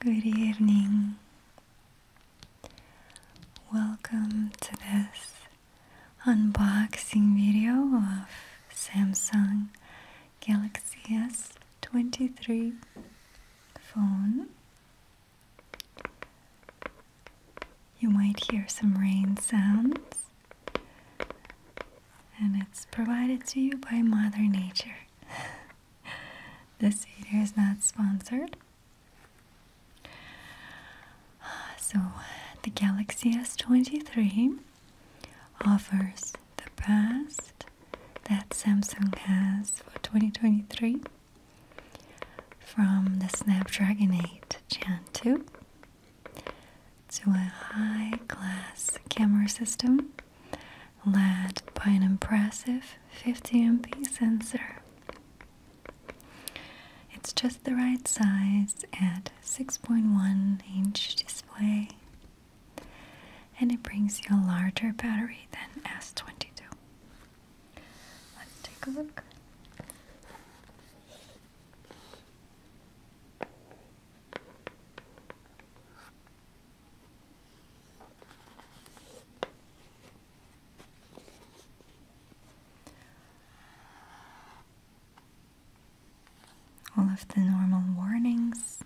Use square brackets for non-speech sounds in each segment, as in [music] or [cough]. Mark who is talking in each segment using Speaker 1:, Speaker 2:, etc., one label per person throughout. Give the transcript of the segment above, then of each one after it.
Speaker 1: Good evening. Welcome to this unboxing video of Samsung Galaxy S23 phone. You might hear some rain sounds, and it's provided to you by Mother Nature. [laughs] this video is not sponsored. So, the Galaxy S23 offers the best that Samsung has for 2023 from the Snapdragon 8 Gen 2 to a high class camera system led by an impressive 50MP sensor. It's just the right size at 6.1 inch display and it brings you a larger battery than S22. Let's take a look. All of the normal warnings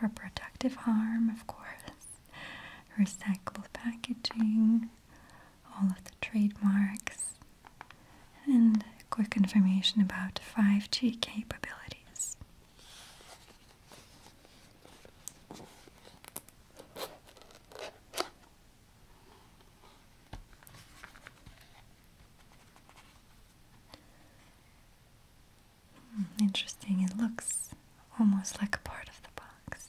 Speaker 1: reproductive harm, of course, recyclable packaging, all of the trademarks, and quick information about 5G capabilities. Hmm, interesting, it looks almost like a part of the box.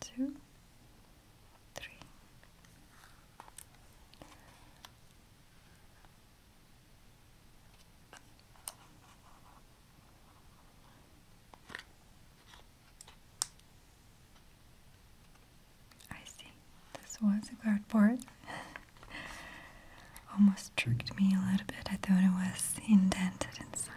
Speaker 1: two, three. I see. This was a cardboard. [laughs] Almost tricked me a little bit. I thought it was indented inside.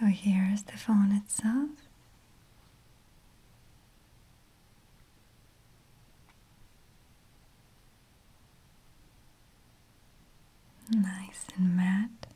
Speaker 1: So here is the phone itself. Nice and matte.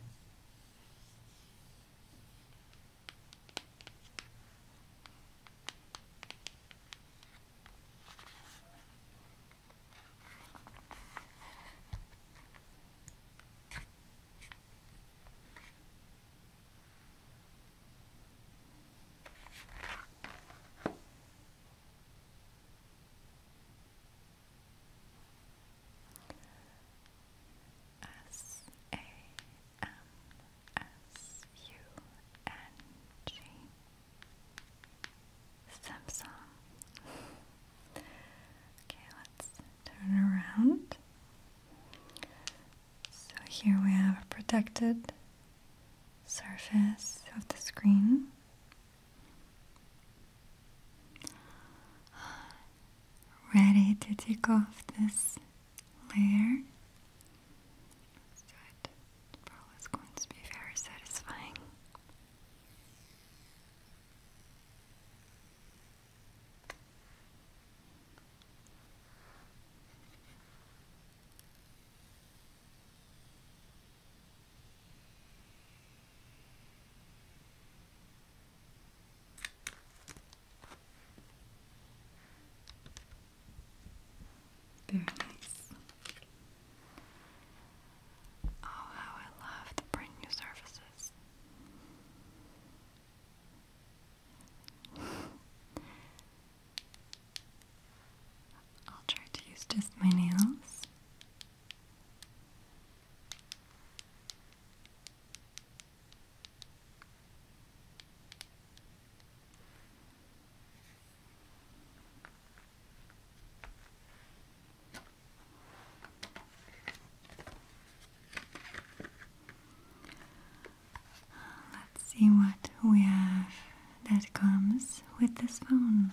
Speaker 1: S A M S-U-N-G Samsung Okay, let's turn around So here we have a protected surface of the screen Ready to take off this layer so it probably is going to be very satisfying. Okay. Very nice. Oh, how I love to print new surfaces. [laughs] I'll try to use just my nails. Let's see what we have that comes with this phone.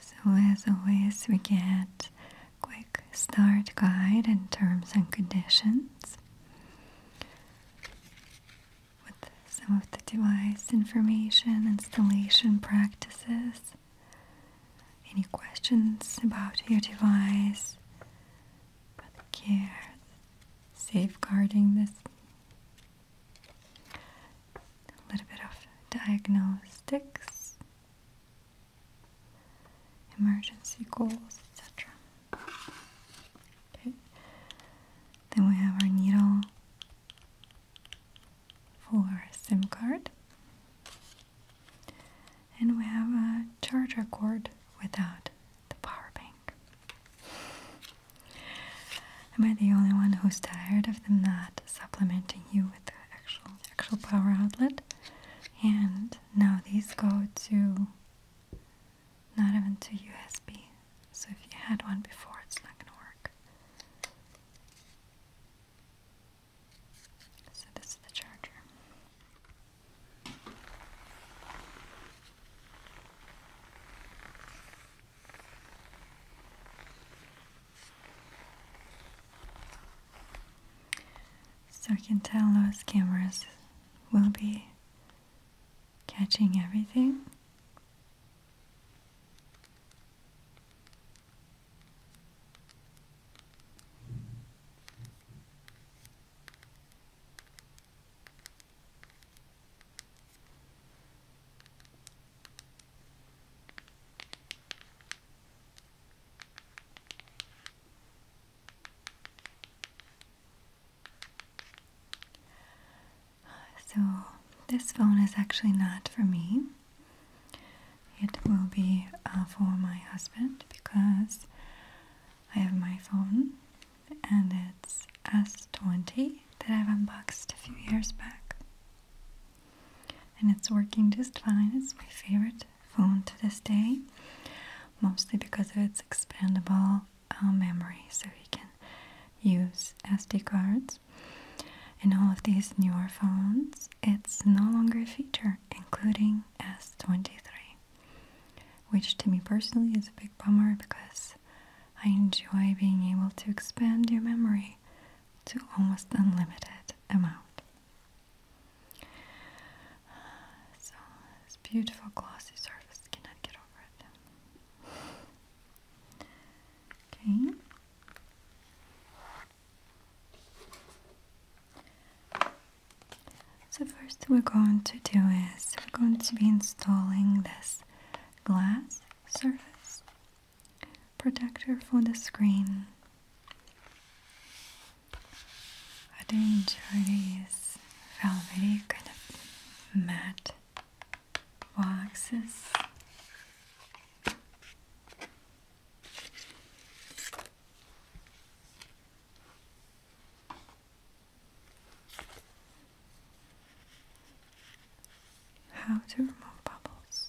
Speaker 1: So as always we get quick start guide and terms and conditions with some of the device information, installation practices, any questions about your device, But care, safeguarding this a little bit of diagnostics, emergency calls, etc. Okay. Then we have our needle for our SIM card. And we have a charger cord without the power bank. Am I the only one who's tired of them not supplementing you with the actual actual power outlet? And now these go to not even to USB. So if you had one before, it's not gonna work. So this is the charger. So I can tell those cameras will be catching everything. So, this phone is actually not for me. It will be uh, for my husband because I have my phone and it's S20 that I've unboxed a few years back and it's working just fine. It's my favorite phone to this day, mostly because of its expandable uh, memory, so you can use SD cards. In all of these newer phones, it's no longer a feature, including S23, which to me personally is a big bummer because I enjoy being able to expand your memory to almost unlimited amount. So this beautiful glossy surface cannot get over it. Okay. So first we're going to do is we're going to be installing this glass surface protector for the screen. I do enjoy these velvety kind of matte boxes. How to remove bubbles.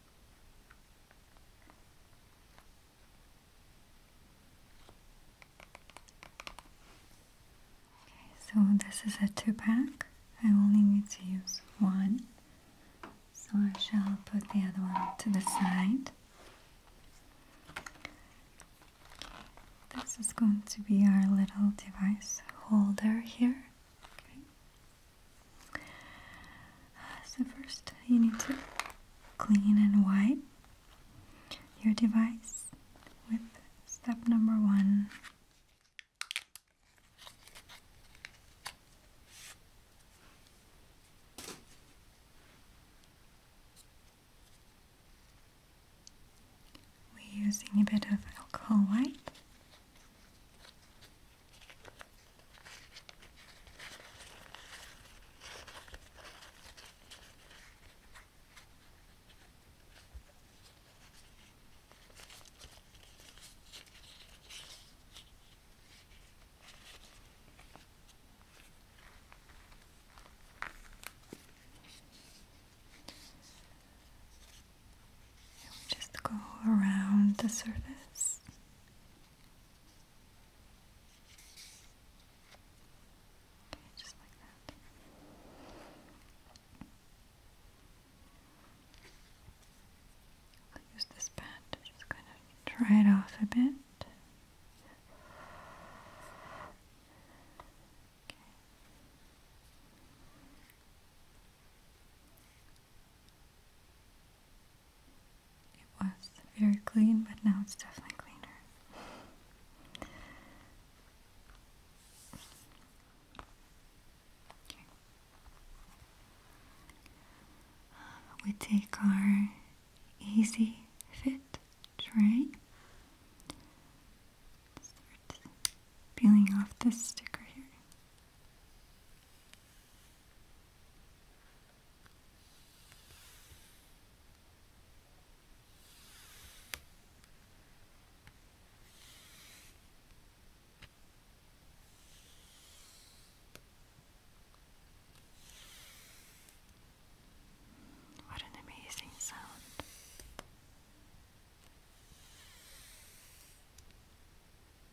Speaker 1: So this is a two pack. I only need to use one. So I shall put the other one to the side. This is going to be our little device holder here so first you need to clean and wipe your device with step number one. We're using a bit of alcohol wipe. Just go around the surface Okay, use this pad to just kind of dry it off a bit. Okay. It was very clean, but now it's definitely cleaner. we take our easy fit tray. Start peeling off this sticker here. What an amazing sound.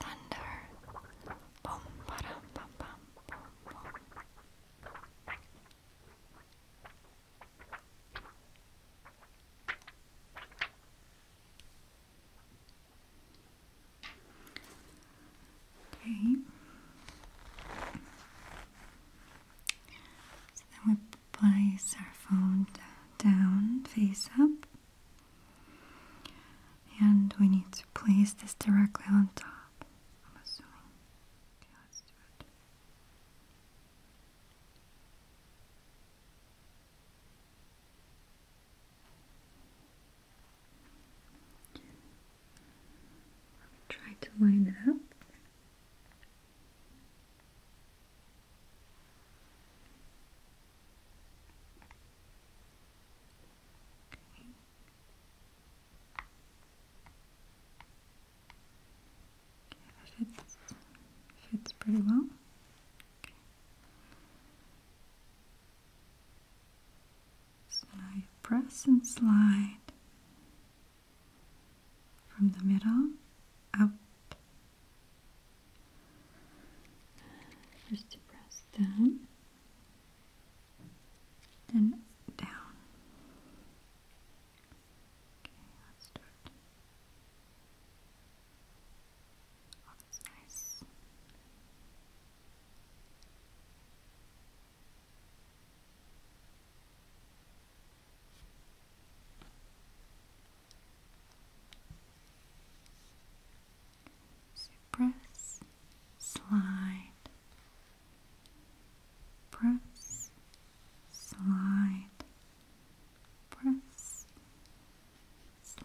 Speaker 1: Thunder. Boom, ba boom, boom. Okay. So then we place our phone down, face up. And we need to place this directly on top, I'm assuming. Okay, let's do it. try to line it up. Okay. fits, pretty well. Okay. press and slide from the middle up. First press down, then down. Okay, oh, that's nice press, slide, press, slide, press, slide.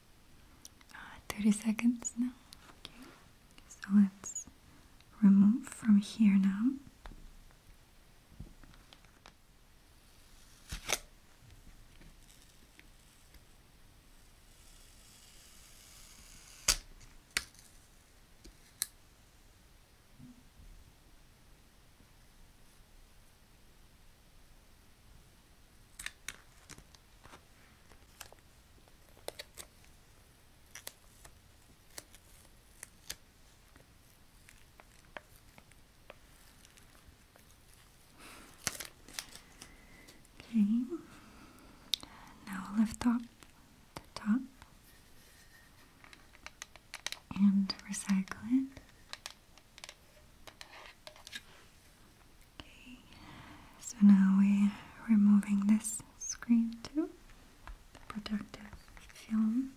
Speaker 1: Uh, 30 seconds now. Okay, so let's remove from here now. Okay. Now lift up the top and recycle it. Okay, so now we're removing this screen too, the protective film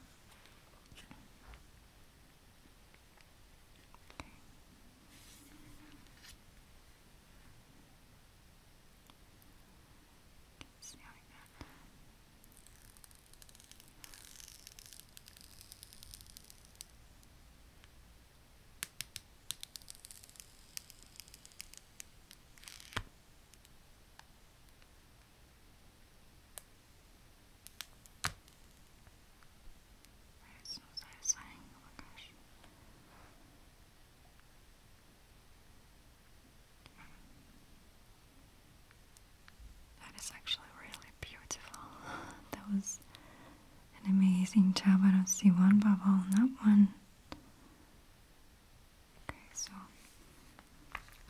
Speaker 1: so satisfying, That is actually really beautiful. [laughs] that was an amazing job. I don't see one bubble Not one. Okay, so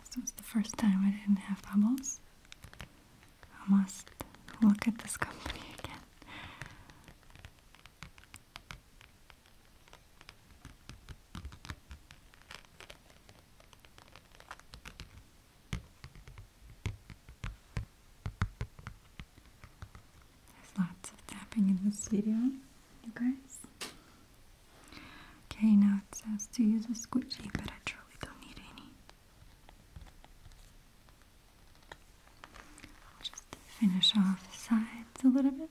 Speaker 1: this was the first time I didn't have bubbles. I must look at this company [laughs] again. There's lots of tapping in this video, you guys. Okay, now it says to use a squishy, but I truly don't need any. Just to finish off the sides a little bit.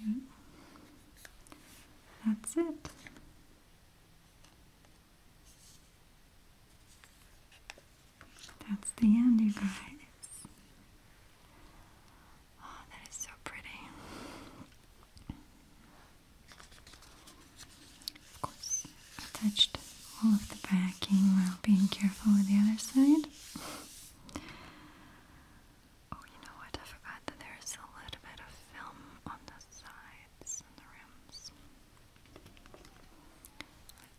Speaker 1: Okay. That's it. That's the end, you guys. Oh, that is so pretty. Of course, I all of the backing while being careful with the other side. Oh, you know what? I forgot that there is a little bit of film on the sides and the rims.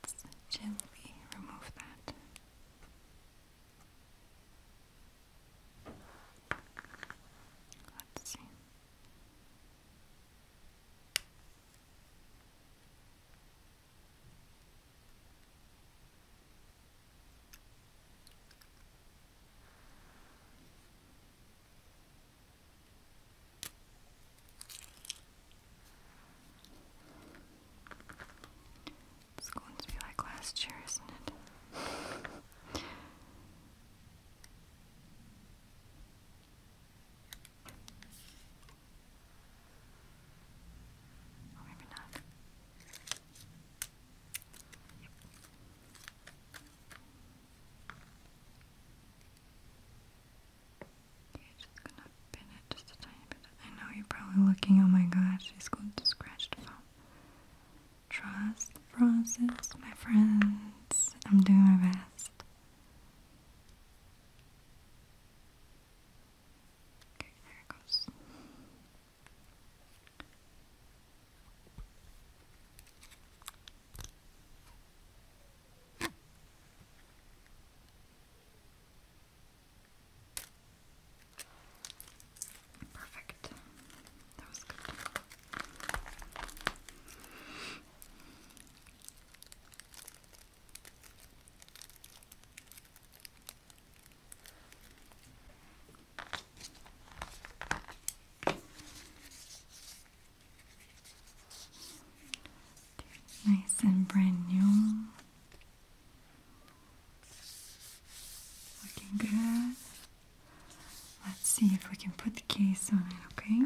Speaker 1: Let's gently remove that. Let's see. It's going to be like last year, isn't it? Or maybe not. I know you're probably looking, oh my gosh, she's going to scratch the phone. Trust the process, my friends. I'm doing my best. Okay, there it goes. Perfect. That was good. Nice and brand new. Looking good. Let's see if we can put the case on it, okay?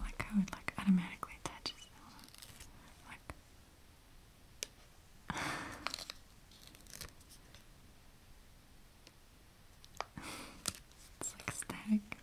Speaker 1: I like how it like automatically attaches that one. Like it's like static.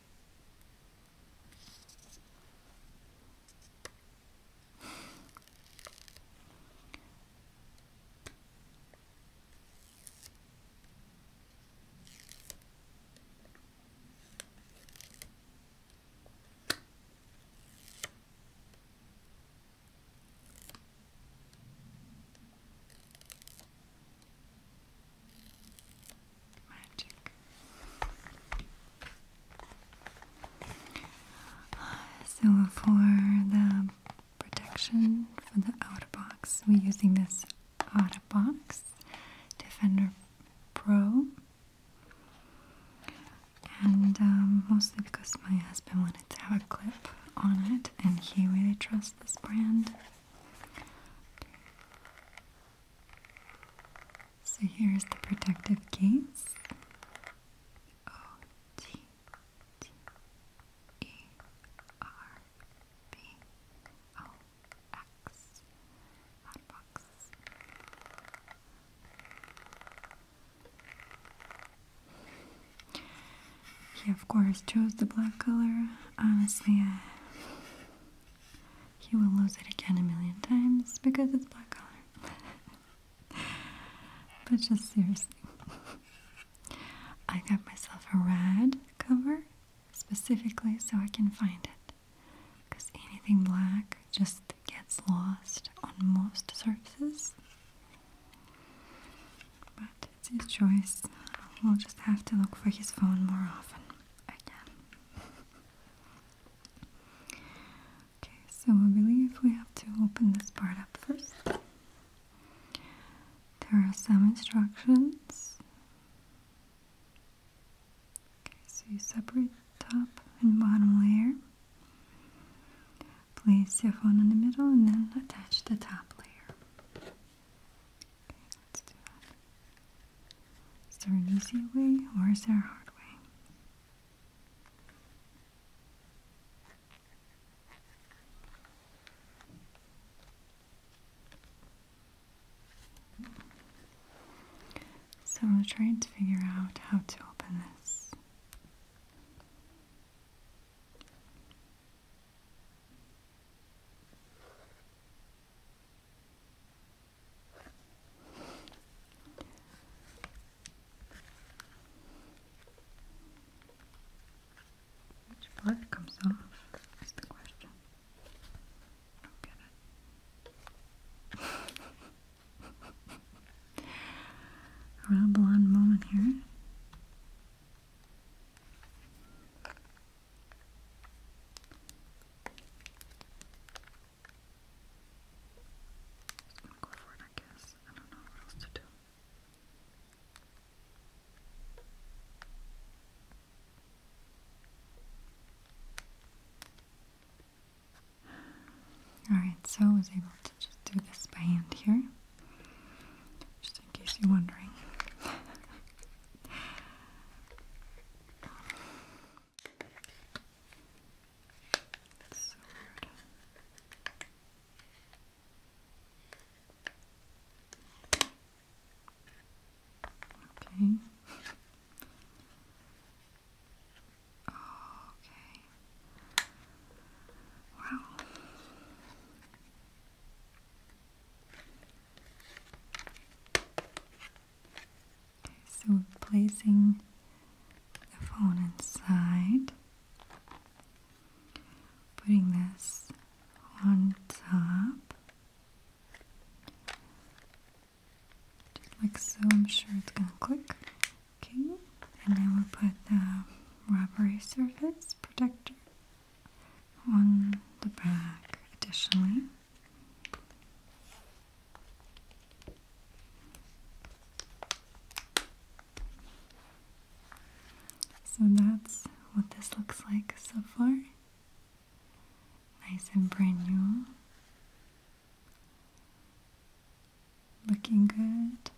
Speaker 1: Uh, so for the protection for the outer box, we're using this outer box Defender Pro and um, mostly because my husband wanted to have a clip on it, and he really trusts this brand. So here's the protective case. O T T E R B O he of course chose the black color. Honestly, he will lose it again a million times because it's black color. [laughs] but just seriously, I got myself a red cover specifically so I can find it. Because anything black just gets lost on most surfaces. But it's his choice. We'll just have to look for his phone more often again. [laughs] okay, so I believe we have to open this part up first. There are some instructions. Okay, so you separate top and bottom layer. Place your phone in the middle and then attach the top layer. Okay, let's do that. Is there an easy way or is there a hard way? So I'm trying to figure out how to open this. Which blood comes off is the question. I'm gonna ramble on a moment here. Just gonna go for it, I guess. I don't know what else to do. Alright, so I was able to just do this by hand here. Just in case you're wondering. Okay. Okay. Wow. so placing the phone inside, putting this on top like so. I'm sure it's gonna click. Okay, and then we'll put the rubbery surface protector on the back additionally. So that's what this looks like so far. Nice and brand new. Looking good.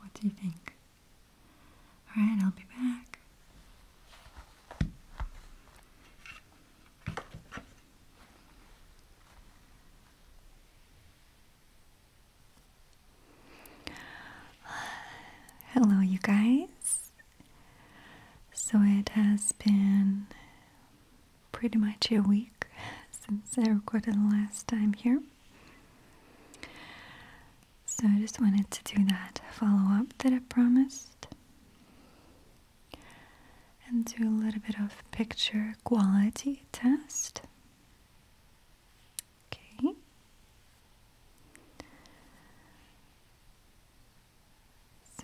Speaker 1: What do you think? Alright, I'll be back. [sighs] Hello, you guys. So it has been pretty much a week [laughs] since I recorded the last time here. So I just wanted to do that follow up that I promised and do a little bit of picture quality test. Okay.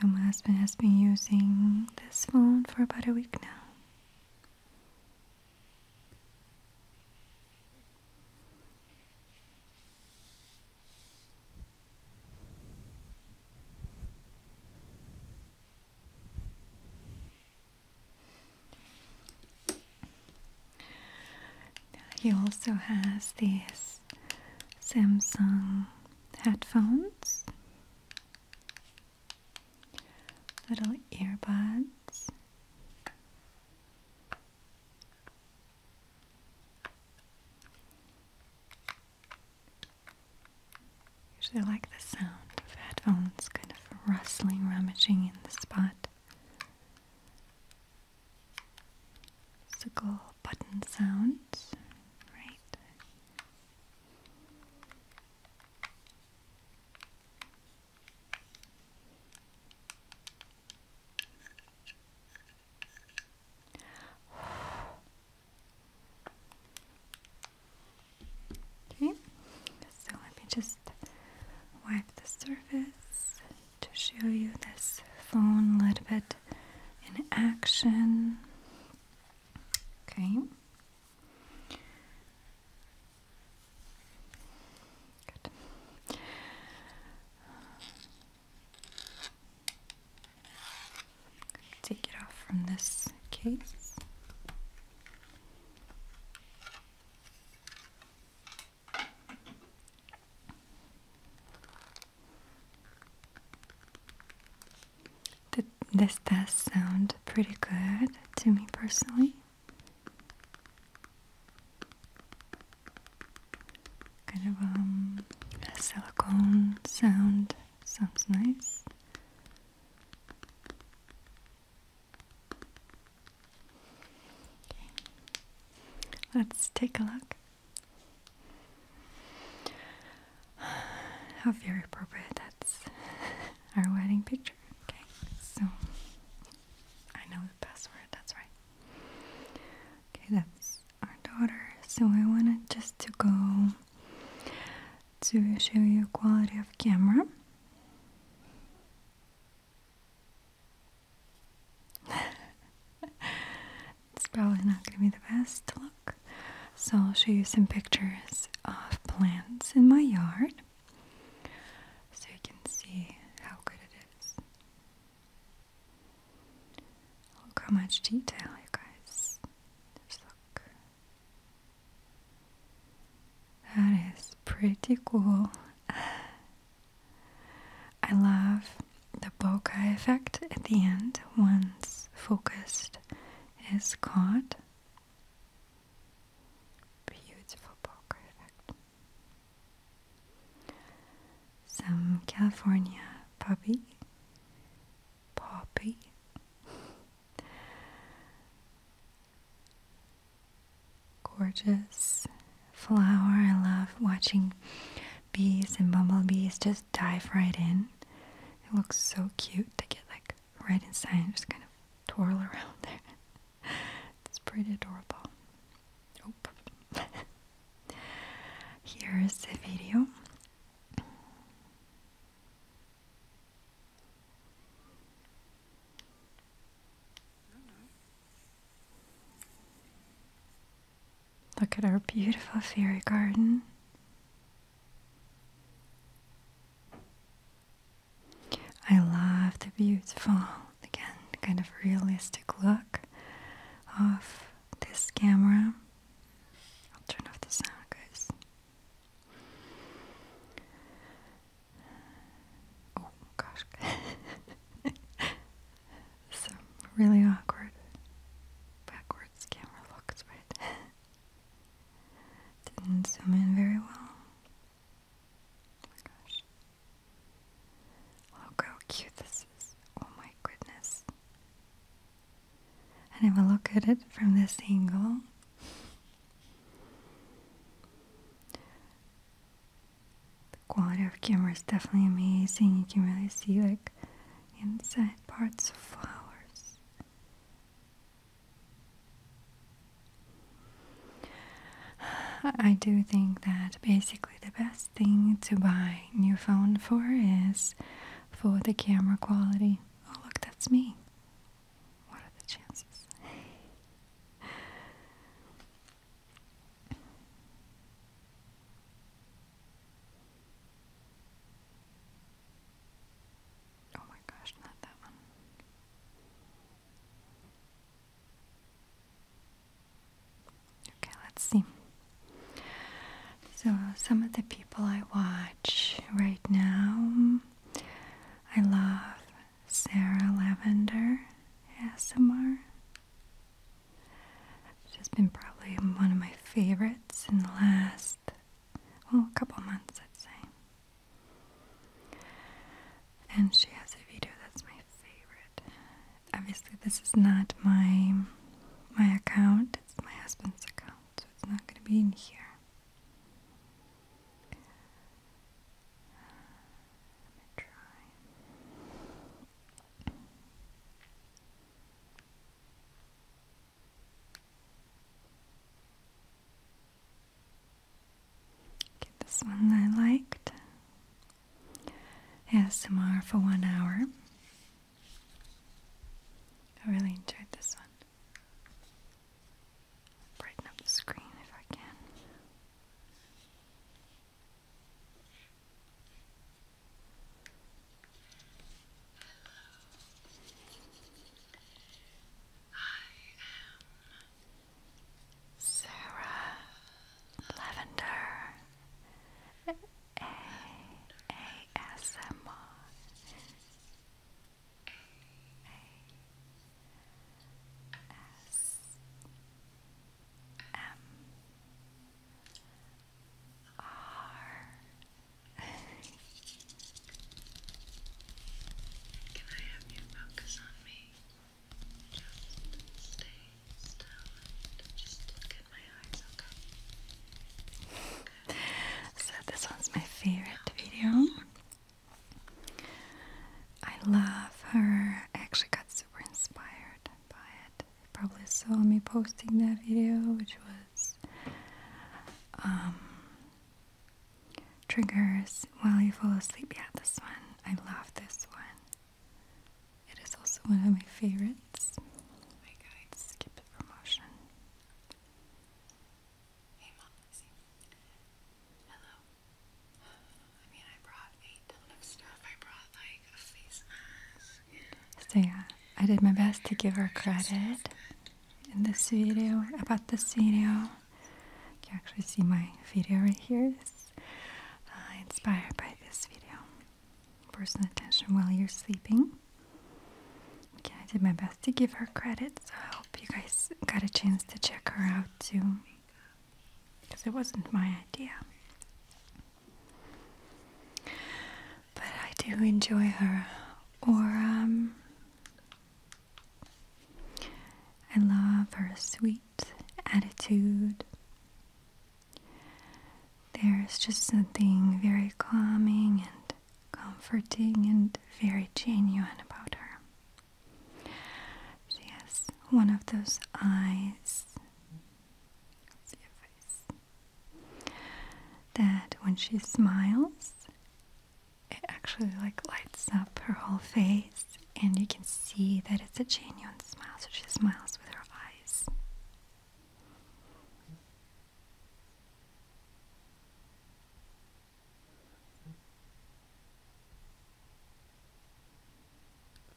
Speaker 1: So, my husband has been using this phone for about a week now. He also has these Samsung headphones, little earbuds. Usually, like the sound of headphones kind of rustling, rummaging in the spot. Sickle button sounds, right? [sighs] Okay, so let me just wipe the surface to show you this phone a little bit in action. Okay. Good. Take it off from this case this does sound pretty good to me personally. Kind of um, a silicone sound sounds nice. Let's take a look. How very appropriate that's [laughs] our wedding picture. Okay, so I know the password, that's right. Okay, that's our daughter. So I wanted just to go to show you quality of camera. [laughs] it's probably not going to be the best look. So I'll show you some pictures of plants in my yard so you can see how good it is. Look how much detail, you guys. look. That is pretty cool. [laughs] I love the bokeh effect at the end once focused is caught. Beautiful bokeh effect. Some California puppy, puppy gorgeous flower. I love watching bees and bumblebees just dive right in. It looks so cute. They get like right inside and just kind of twirl around there. [laughs] it's pretty adorable. [laughs] Here is the video. Look at our beautiful fairy garden. I love the beautiful, again, kind of realistic look of this camera. I'll turn off the sound, guys. Oh gosh. [laughs] Some really awkward backwards camera looks, right? [laughs] Didn't zoom in very well. Oh my gosh. Look how cute this is. Oh my goodness. And if I look at it from this angle, the quality of camera is definitely amazing. You can really see like inside parts of flowers. I do think that basically the best thing to buy new phone for is for the camera quality. Oh look, that's me. What are the chances? [laughs] Oh my gosh, not that one. Okay, let's see. So, some of the people I watch right now, I love Sarah Lavender ASMR. She's just been probably one of my favorites in the last, well, a couple months, I'd say. And she has a video that's my favorite. Obviously, this is not my my account; it's my husband's account, so it's not going to be in here. I'm gonna try. this one I liked. ASMR for one hour. I really enjoyed this one. Brighten up the screen if I can. Sarah Lavender A A S M R. A S M R M R. Can I have you focus on me? Just stay still just look at my eyes, so, this one's my favorite video. I love her. actually got some were inspired by it. You probably saw me posting that video, which was um, triggers while you fall asleep. Yeah, this one. I love this one. It is also one of my favorites. Wait, guys, skip promotion. Hey, Mom, Hello. I So yeah, I did my best to give her credit in this video about this video. You can actually see my video right here. It's uh, inspired by this video. Personal attention while you're sleeping. Okay, I did my best to give her credit, so I hope you guys got a chance to check her out too because it wasn't my idea. But I do enjoy her. Or, um, I love her sweet attitude. There's just something very calming and comforting and very genuine about her. She has one of those eyes that when she smiles, it actually like lights up her whole face, and you can see that it's a genuine smile. So she smiles with her eyes. [laughs]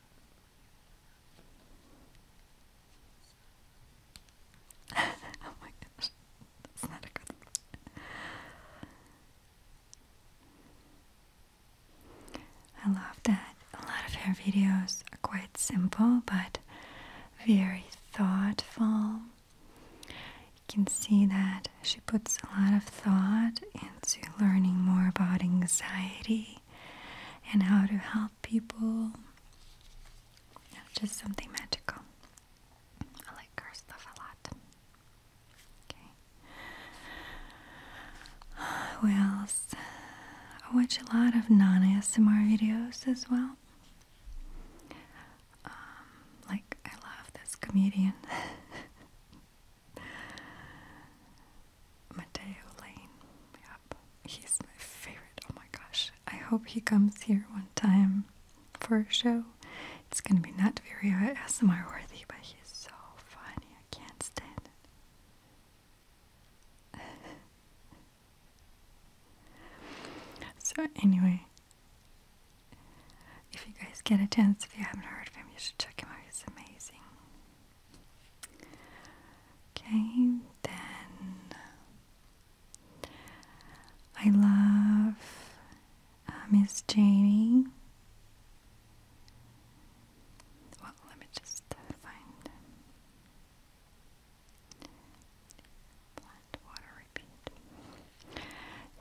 Speaker 1: Oh I love that a lot of her videos are quite simple but very thoughtful. You can see that she puts a lot of thought into learning more about anxiety and how to help people. just something magical. I like her stuff a lot. Okay. [sighs] Who else? I watch a lot of non ASMR videos as well. Um, like, I love this comedian. [laughs] Mateo Lane. Yep. He's my favorite. Oh my gosh. I hope he comes here one time for a show. It's gonna be not very ASMR worthy, but he's so funny. I can't stand it. [laughs] so anyway, if you guys get a chance, if you haven't heard of him, you should check him out. He's amazing. Okay, then I love uh, Miss Janie. Well, let me just find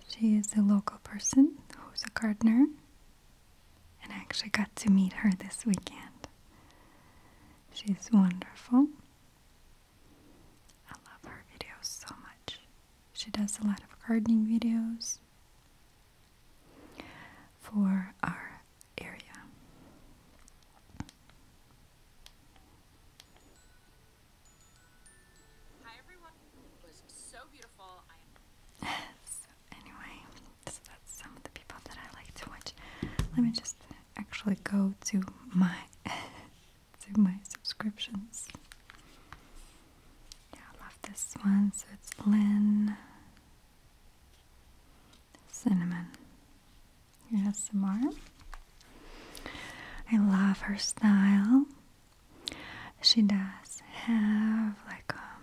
Speaker 1: She is a local person who's a gardener and I actually got to meet her this weekend. She's wonderful. I love her videos so much. She does a lot of gardening videos for our area. Hi everyone. was so beautiful. I [laughs] so anyway, so that's some of the people that I like to watch. Let me just actually go to my [laughs] to my subscriptions. Yeah, I love this one. So it's Lynn Cinnamon. Yes, Samara. I love her style. She does have like um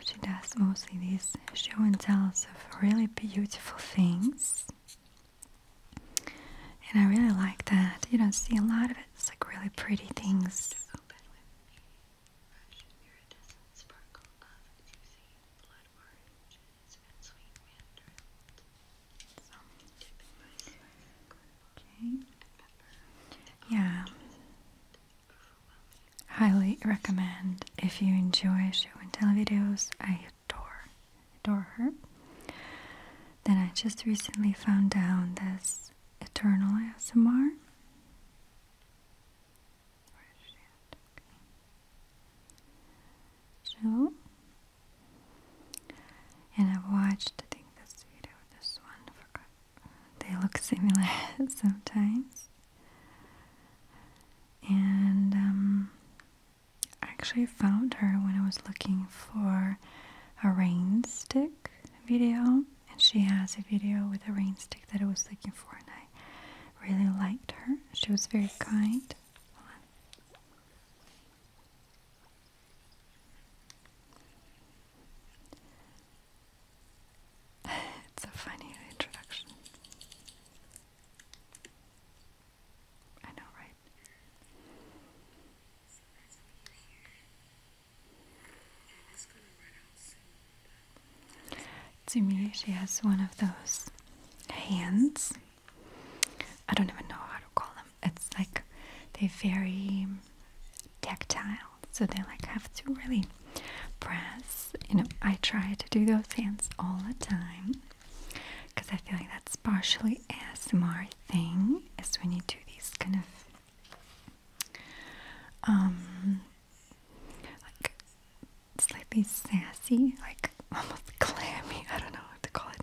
Speaker 1: She does mostly these show and tells of really beautiful things. And I really like that. You don't see a lot of it. It's like really pretty things. Yeah. Highly recommend if you enjoy show and tell videos. I adore, adore her. Then I just recently found down this Eternal ASMR. Where is and I've watched, I think this video, this one, I they look similar [laughs] sometimes. And um, I actually found her when I was looking for a rainstick video, and she has a video with a rainstick that I was looking for, and I really liked her. She was very kind. [laughs] it's a funny introduction. I know, right? To me, she has one of those hands. I don't even know how to call them. It's like they're very tactile so they like have to really press. You know, I try to do those hands all the time because I feel like that's partially ASMR thing is when you do these kind of um like slightly sassy, like [laughs] almost clammy, I don't know what to call it,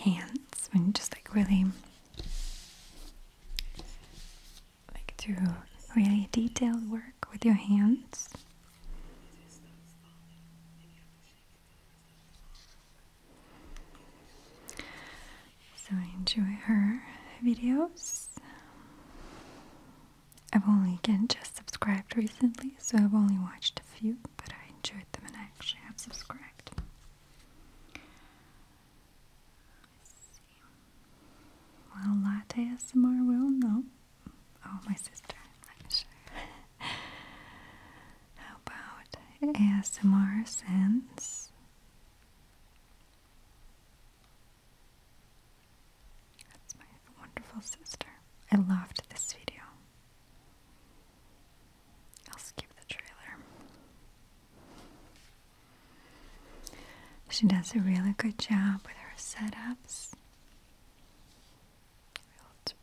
Speaker 1: hands when you just like really like do really detailed work with your hands. So I enjoy her videos. I've only again just subscribed recently, so I've only watched a few, but I enjoyed them and I actually have subscribed. Well, latte ASMR will know. Oh, my sister, i [laughs] How about ASMR sense? That's my wonderful sister. I loved this video. I'll skip the trailer. She does a really good job with her setups. Let's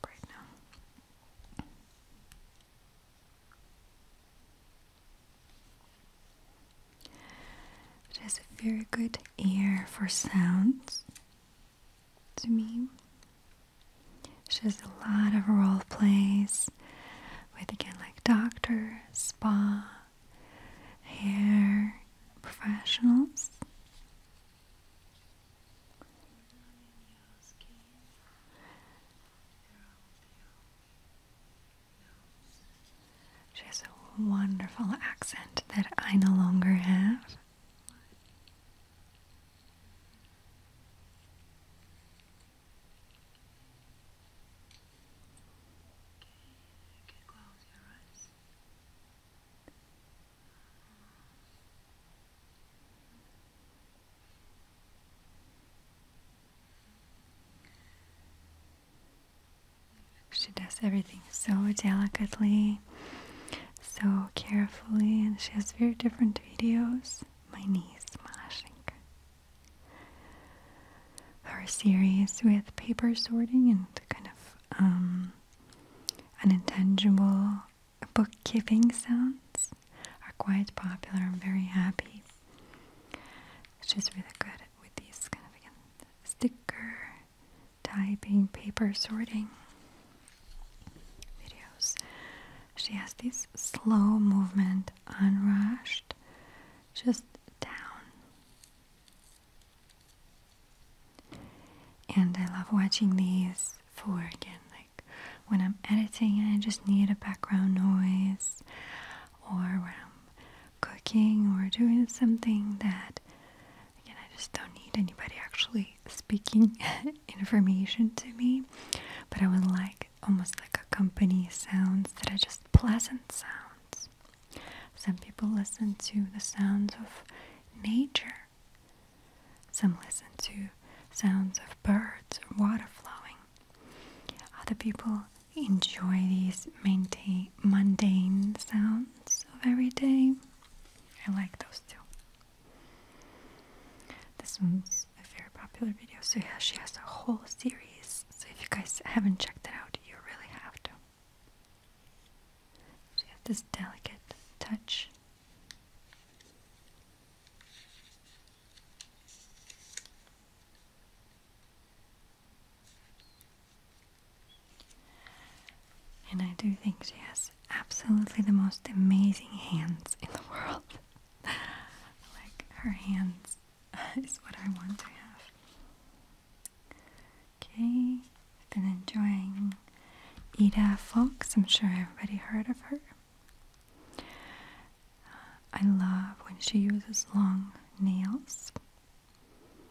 Speaker 1: She has a very good ear for sounds. To me, she does a lot of role plays with again like doctor, spa hair professionals. She has a wonderful accent that I no longer have. She does everything so delicately, so carefully, and she has very different videos. My knees smashing our series with paper sorting and kind of um, bookkeeping sounds are quite popular. I'm very happy. She's really good with these kind of again sticker typing, paper sorting videos. She has this slow movement, unrushed, just down and I love watching these for again, like when I'm editing I just need a background noise, or when I'm cooking or doing something that again I just don't need anybody actually speaking [laughs] information to me, but I would like almost like a company sounds that are just pleasant sounds. Some people listen to the sounds of nature. Some listen to sounds of birds water flowing. Other people enjoy these mundane sounds of every day. I like those too. This one's a very popular video, so yeah, she has a whole series. So if you guys haven't checked it out, you really have to. She has this delicate touch. And I do think she has absolutely the most amazing hands in the world. [laughs] like her hands [laughs] is what I want to have. Okay, I've been enjoying Ida Fox. I'm sure everybody heard of her. Uh, I love when she uses long nails.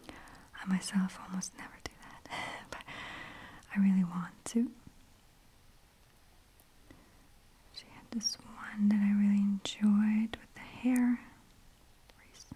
Speaker 1: I myself almost never do that, [laughs] but I really want to. She had this one that I really enjoyed with the hair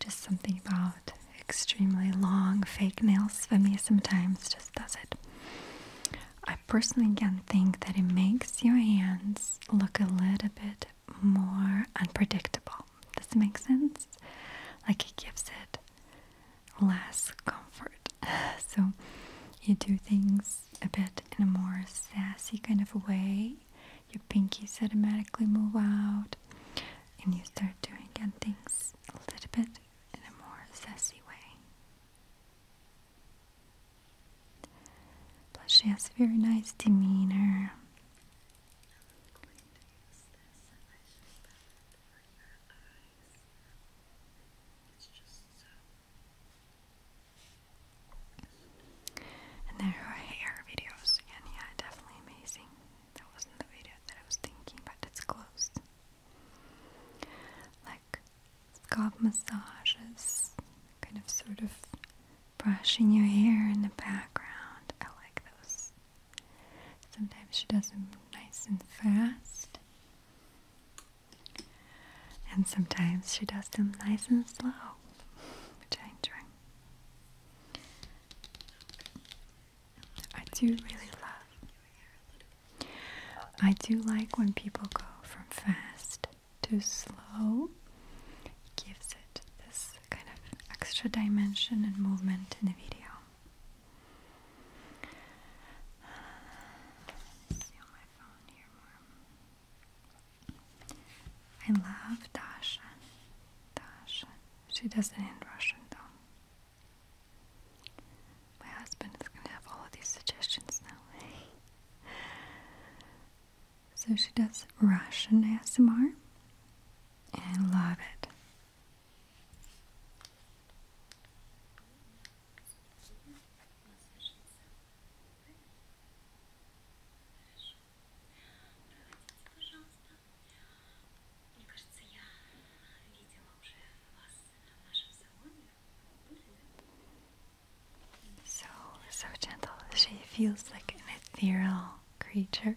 Speaker 1: Just something about extremely long fake nails for me sometimes just does it. I personally again think that it makes your hands look a little bit more unpredictable. Does it make sense? Like it gives it less comfort. [laughs] so you do things a bit in a more sassy kind of way your pinkies automatically move out and you start doing things a little bit in a more sassy way. Plus she has a very nice demeanor. And there are hair videos again, yeah, definitely amazing. That wasn't the video that I was thinking, but it's close. Like scalp massages, kind of sort of brushing your hair in the background. I like those. Sometimes she does them nice and fast. And sometimes she does them nice and slow, I do really love. I do like when people go from fast to slow. gives it this kind of extra dimension and movement in the video. I love Dasha. Dasha. She does not in Russian though. My husband is gonna have all of these suggestions now. [laughs] so she does Russian ASMR and I love it. Хорошо. Проводите, пожалуйста. Мне кажется, я видела уже вас в нашем салоне. So, so gentle. She feels like an ethereal creature.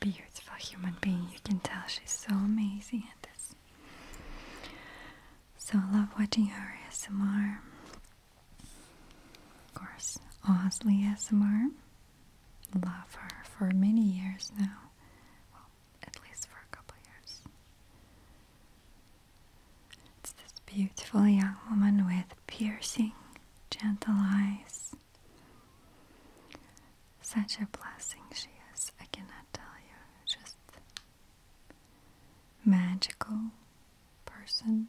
Speaker 1: Beautiful human being. You can tell she's so amazing at this. So love watching her SMR. Of course, Osley SMR love her for many years now. Well, at least for a couple years. It's this beautiful young woman with piercing, gentle eyes. Such a blessing she is, I cannot tell you. Just magical person.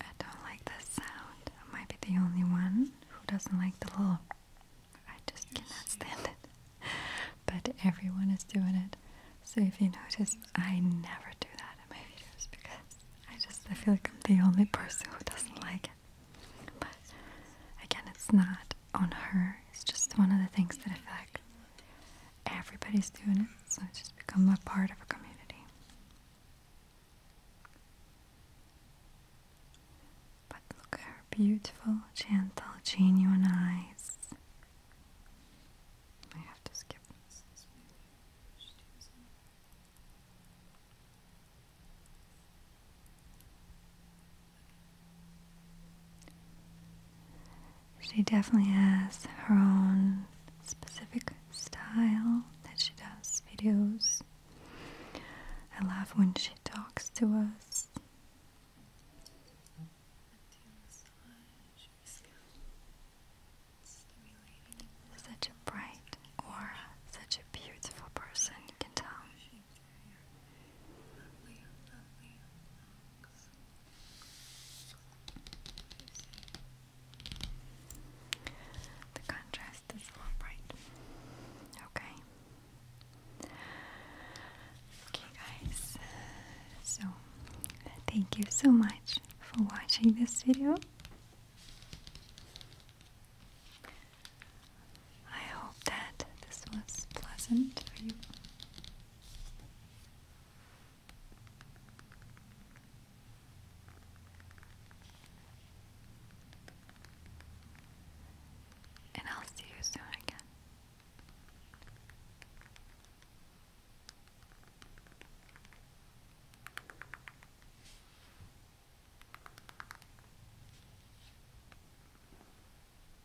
Speaker 1: I don't like the sound. I might be the only one who doesn't like the little. I just cannot stand it. [laughs] But everyone is doing it. So if you notice, I never do that in my videos because I just I feel like I'm the only person who doesn't like it. But again, it's not on her it's just one of the things that affect everybody's doing it, so it's just become a part of a community. But look at her beautiful, gentle, genuine eyes. I have to skip she definitely has her own specific style that she does videos. I love when she talks to us. Such a bright aura, such a beautiful person, you can tell. The contrast is a little bright. Okay. Okay, guys. So, thank you so much for watching this video. I hope that this was pleasant for you. And I'll see you soon again.